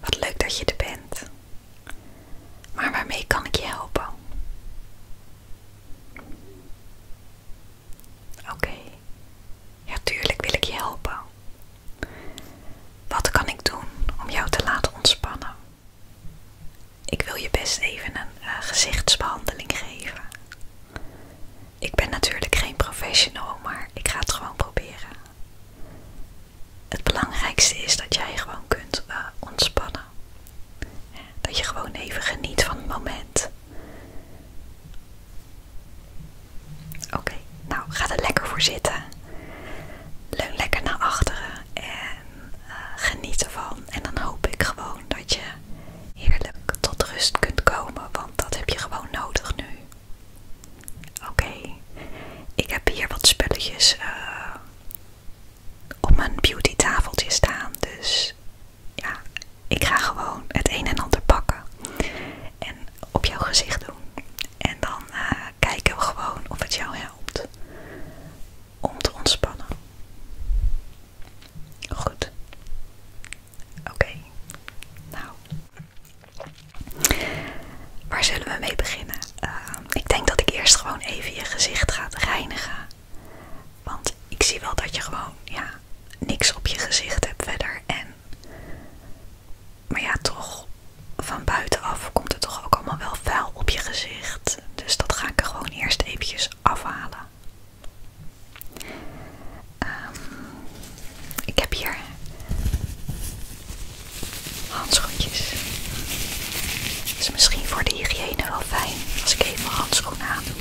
Wat leuk dat je er bent. Maar waarmee kan ik je helpen? Oké, ja tuurlijk wil ik je helpen. Wat kan ik doen om jou te laten ontspannen? Ik wil je best even een eh, gezichtsbehandeling geven. Ik ben natuurlijk geen professional, maar ik ga het gewoon proberen het belangrijkste is dat jij gewoon kunt eh, ontspannen. Dat je gewoon even geniet van het moment. Oké, nou ga er lekker voor zitten. Leun lekker naar achteren en eh, geniet ervan. En dan hoop ik gewoon dat je heerlijk tot rust kunt komen, want dat heb je gewoon nodig nu. Oké, ik heb hier wat spulletjes eh, op mijn beauty tafeltje staan. Dus ja, ik ga gewoon het een en ander pakken en op jouw gezicht doen. En dan eh, kijken we gewoon of het jou helpt om te ontspannen. Goed. Oké. Nou, Waar zullen we mee beginnen? Eh, ik denk dat ik eerst gewoon even je gezicht ga reinigen. Want ik zie wel dat je gewoon ja, niks op je gezicht hebt verder. En, maar ja, toch, van buitenaf komt het toch ook allemaal wel vuil op je gezicht. Dus dat ga ik er gewoon eerst eventjes afhalen. Ehm ik heb hier handschoentjes. is misschien voor de hygiëne wel fijn als ik even handschoenen aan doe.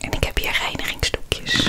En ik heb hier reinigingsdoekjes.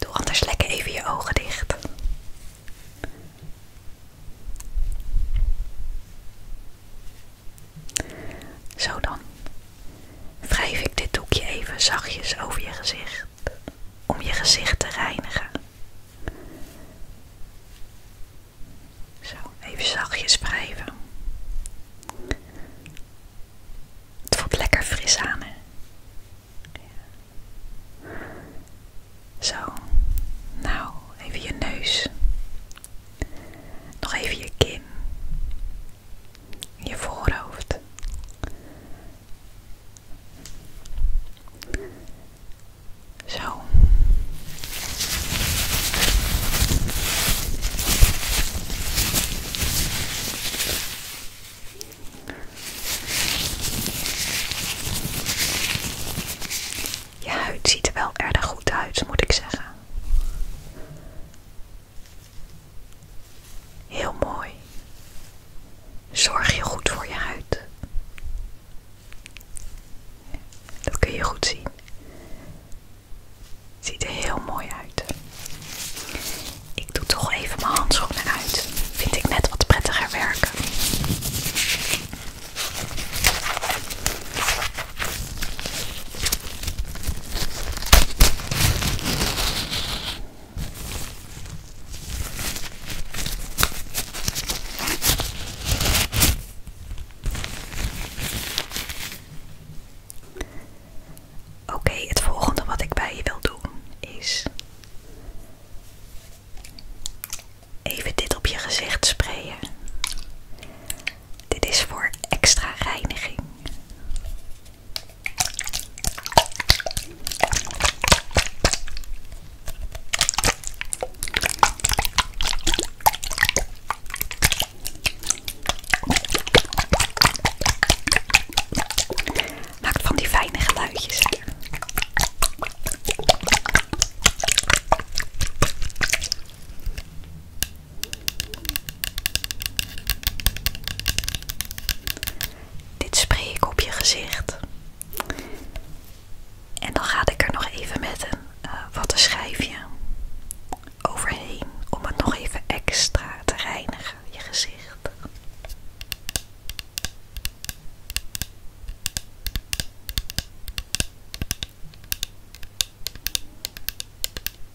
Doe anders lekker even je ogen dicht. Zo dan. Wrijf ik dit doekje even zachtjes over je gezicht om je gezicht te reinigen. Zo, even zachtjes wrijven. Het voelt lekker fris aan, hè? Zo, nou, even je neus. Nog even je kin je voorhoofd. Zo. Je huid ziet er wel erg goed uit, moet ik zeggen. Heel mooi. Zorg je goed voor je huid. Dat kun je goed zien. Ziet er heel mooi uit. Ik doe toch even mijn handschoenen uit. Vind ik net wat prettiger werken. Oké, het volgende wat ik bij je wil doen is even dit op je gezicht sprayen. Dit is voor extra reiniging. Maakt van die fijne geluidjes. Dit spreek ik op je gezicht. En dan ga ik er nog even met een eh, wat een schijfje overheen om het nog even extra te reinigen, je gezicht.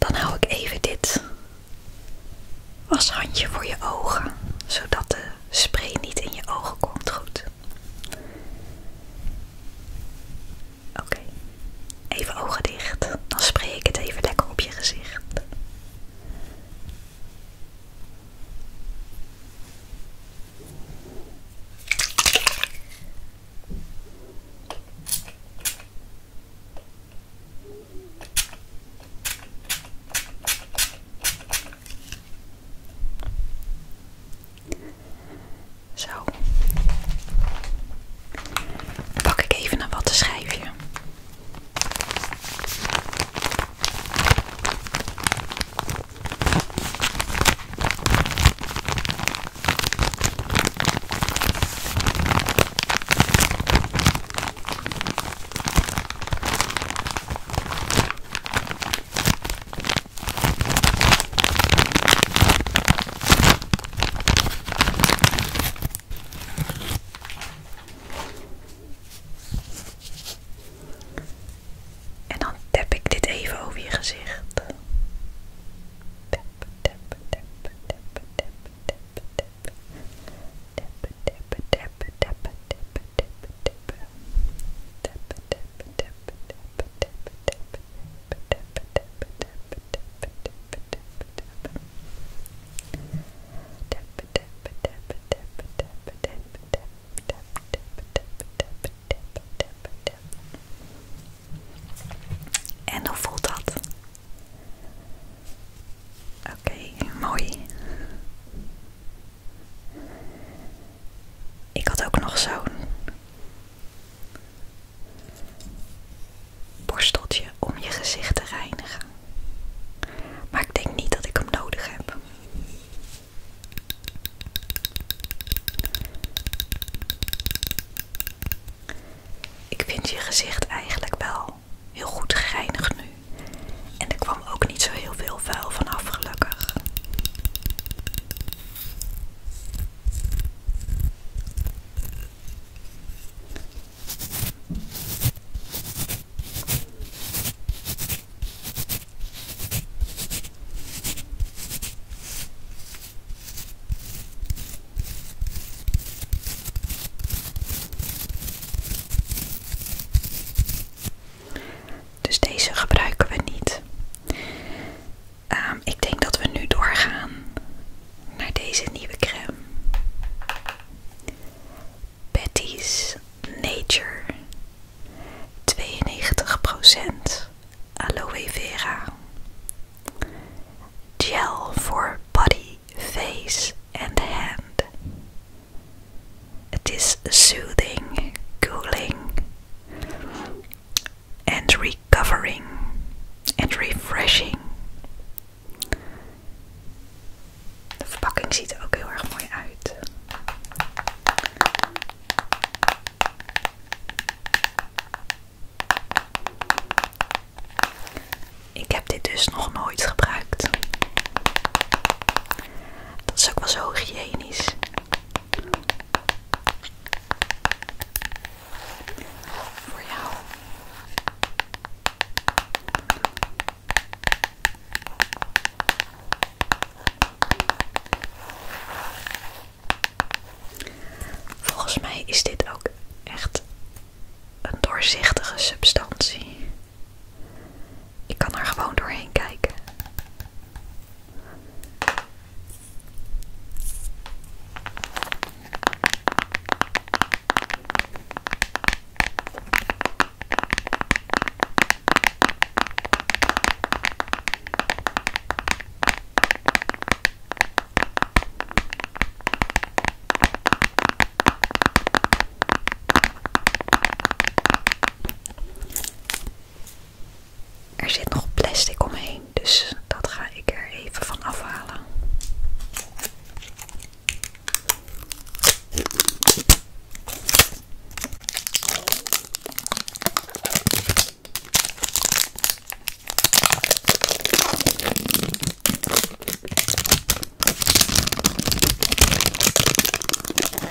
Dan hou ik even dit washandje voor je ogen, zodat spray niet in je ogen komt goed. Oké, even ogen dicht. Dan spreek ik het even lekker op je gezicht. Zo. Pak ik even wat te schrijven. En dan tap ik dit even over je gezicht. Tap, tap, tap, tap, tap, tap, tap, tap, tap, tap, en hoe voelt dat? Oké, okay, mooi. Ik had ook nog zo'n borsteltje om je gezicht te reinigen. Maar ik denk niet dat ik hem nodig heb. Ik vind je gezicht eigenlijk wel heel goed gereinigd nu. En er kwam ook niet zo heel veel vuil vanaf, gelukkig. Dus deze gebruiken we niet. Ehm, ik denk dat we nu doorgaan naar deze nieuwe crème. Betty's Nature 92% aloe vera gel voor body, face en hand. Het is soothing, cooling and recovering and refreshing. De verpakking ziet er ook heel erg mooi uit. Ik heb dit dus nog nooit gebruikt. Dat is ook wel zo hygiënisch. Voor jou. Volgens mij is dit ook echt een doorzichtige substantie. Ik kan er gewoon doorheen kijken. Er zit nog plastic omheen, dus dat ga ik er even van afhalen.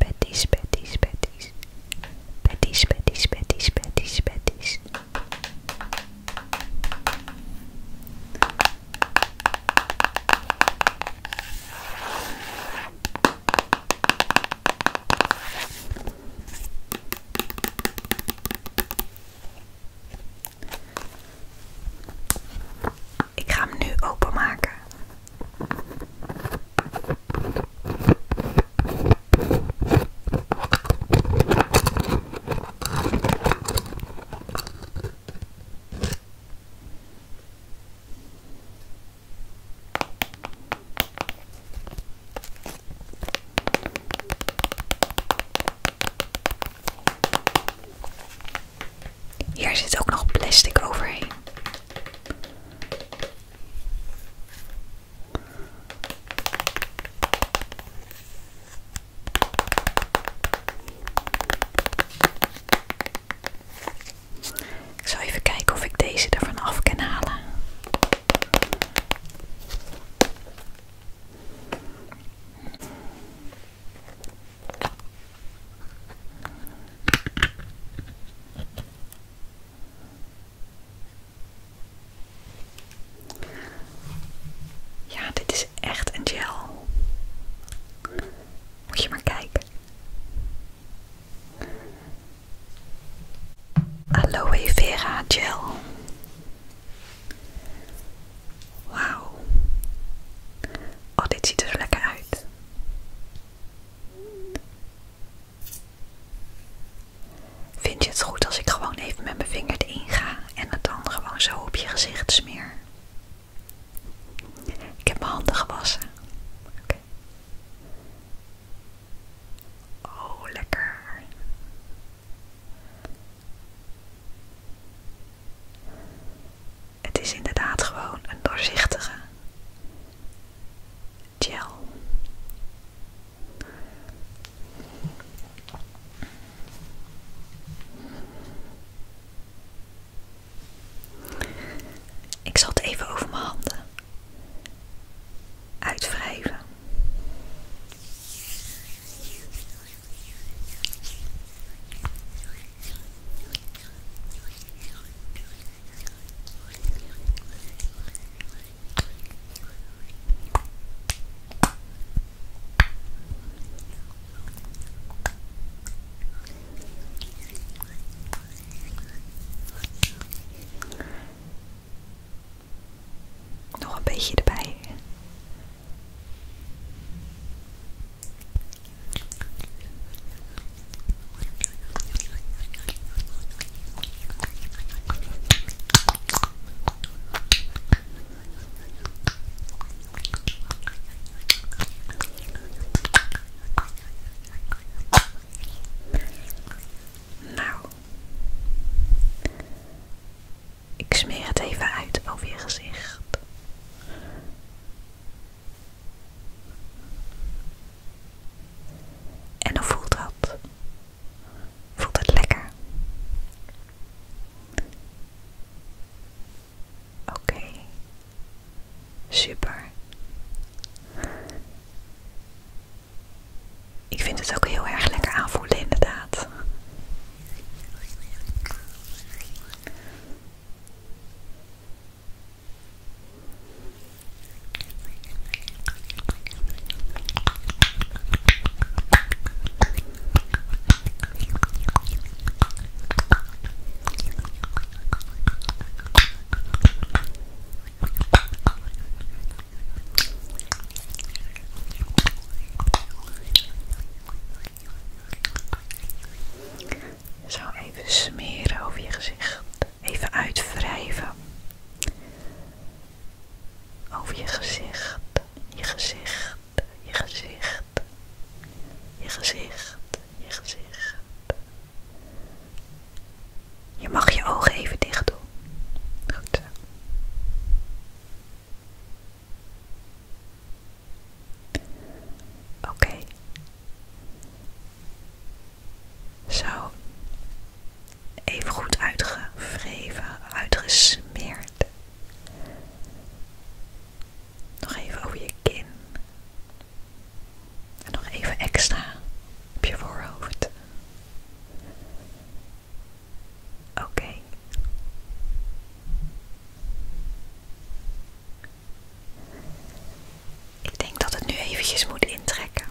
Betties, Betties, Betties. Betties, Betties, Betties, Betties, Betties. Ik ga hem nu openmaken. Hier zit ook nog plastic overheen. Ik zal even kijken of ik deze ervan af kan halen. Ja, dit is echt een gel. Moet je maar kijken. Aloe vera gel. Wauw. Oh, dit ziet er lekker uit. Vind je het goed als ik gewoon even met mijn vinger erin ga en het dan gewoon zo op je gezicht smeer? Ik heb mijn handen gewassen. Oh, lekker. Het is inderdaad gewoon een doorzichtige. Ik zal het even over mijn handen uitwrijven. Nog een beetje erbij. Nou, ik smeer het even uit over je gezicht. En hoe voelt dat? Voelt het lekker? Oké, super. Ik vind het ook heel erg lekker aanvoelen, inderdaad. Zo even smeren over je gezicht even uitwrijven over je gezicht, je gezicht, je gezicht, je gezicht, je gezicht. Je mag je ogen even dicht doen. Goed Oké. Zo even goed uitgevreven, uitgesmeerd. Nog even over je kin. En nog even extra op je voorhoofd. Oké. Ik denk dat het nu eventjes moet intrekken.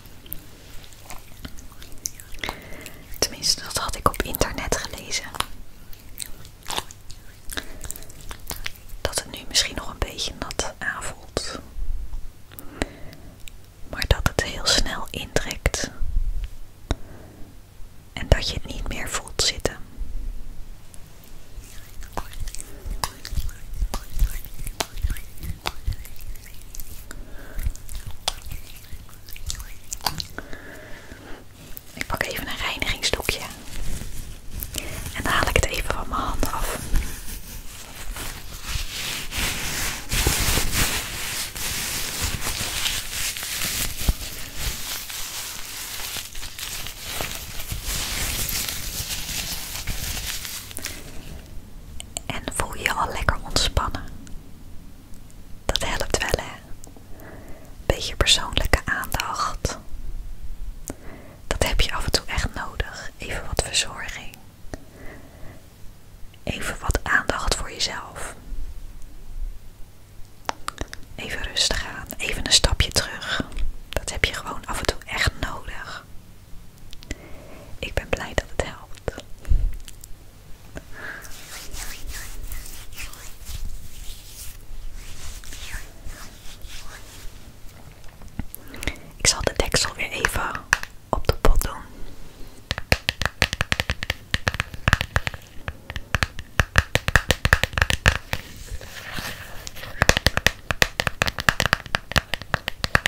Tenminste, dat had ik op internet gelezen. Dat het nu misschien nog een beetje nat aanvoelt. Maar dat het heel snel intrekt. En dat je het niet meer voelt zitten. Ik pak even een reinigingsdoekje en dan haal ik het even van mijn hand af. En voel je al lekker ontspannen. Dat helpt wel hè. Beetje persoonlijke aandacht. Dat heb je af en toe echt nodig. Even wat verzorging. Even wat aandacht voor jezelf. Even rustig aan. Even een stapje terug. Dat heb je gewoon af en toe echt nodig. Ik ben blij dat het helpt. Ik zal de deksel weer even op de pot doen.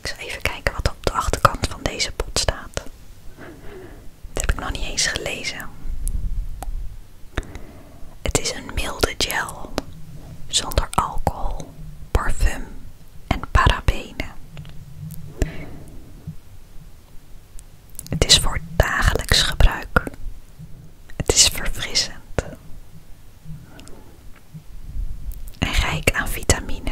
Ik zal even kijken wat op de achterkant van deze pot staat. Dat heb ik nog niet eens gelezen. Het is een milde gel zonder alcohol, parfum en parabenen. Het is voor dagelijks gebruik. Het is verfrissend en rijk aan vitamine.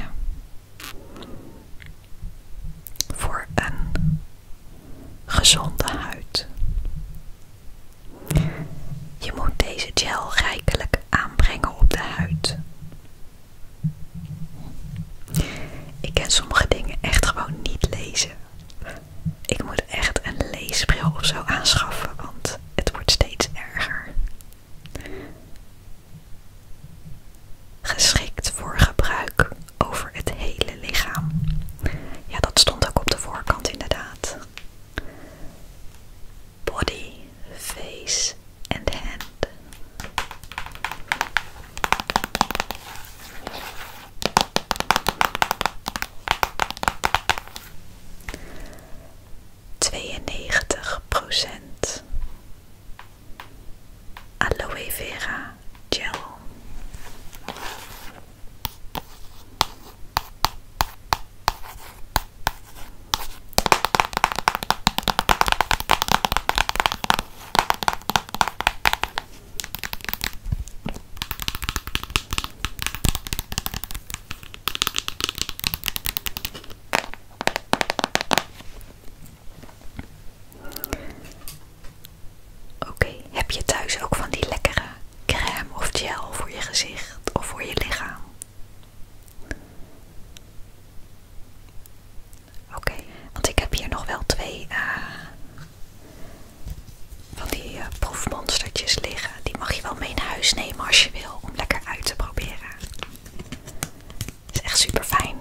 Voor een gezonde huid. Je moet deze gel rijkelijk aanbrengen op de huid. Ik kan sommige dingen echt gewoon niet lezen. Ik moet echt een leesbril of zo aanschaffen, want het wordt steeds erger. Geschikt voor gebruik over het hele lichaam. Ja, dat stond ook op de voorkant inderdaad body, face and hand. 92 procent aloe vera gel. Oké, heb je thuis ook van die lekkere crème of gel voor je gezicht of voor je lichaam? Oké, want ik heb hier nog wel twee eh, van die proefmonsterjes eh, proefmonstertjes liggen. Die mag je wel mee naar huis nemen als je wil, om lekker uit te proberen. Is echt super fijn.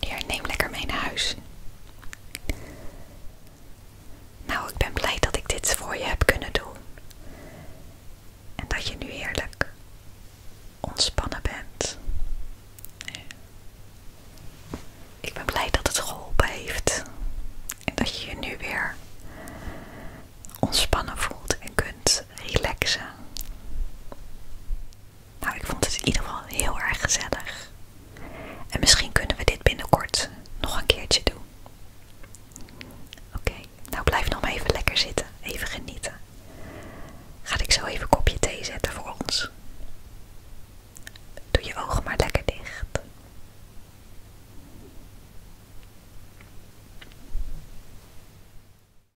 Hier, neem lekker mee naar huis. Nou, ik ben blij dat ik dit voor je heb kunnen doen. En dat je nu heerlijk ontspannen bent. Ik ben blij dat het geholpen heeft. En dat je je nu weer ontspannen voelt en kunt relaxen. Nou, ik vond het in ieder geval heel erg gezellig. En misschien kunnen we dit binnenkort nog een keertje doen. Oké, nou blijf nog maar even lekker zitten. Even genieten. Ga ik zo even kopje thee zetten voor ons. Doe je ogen maar lekker dicht.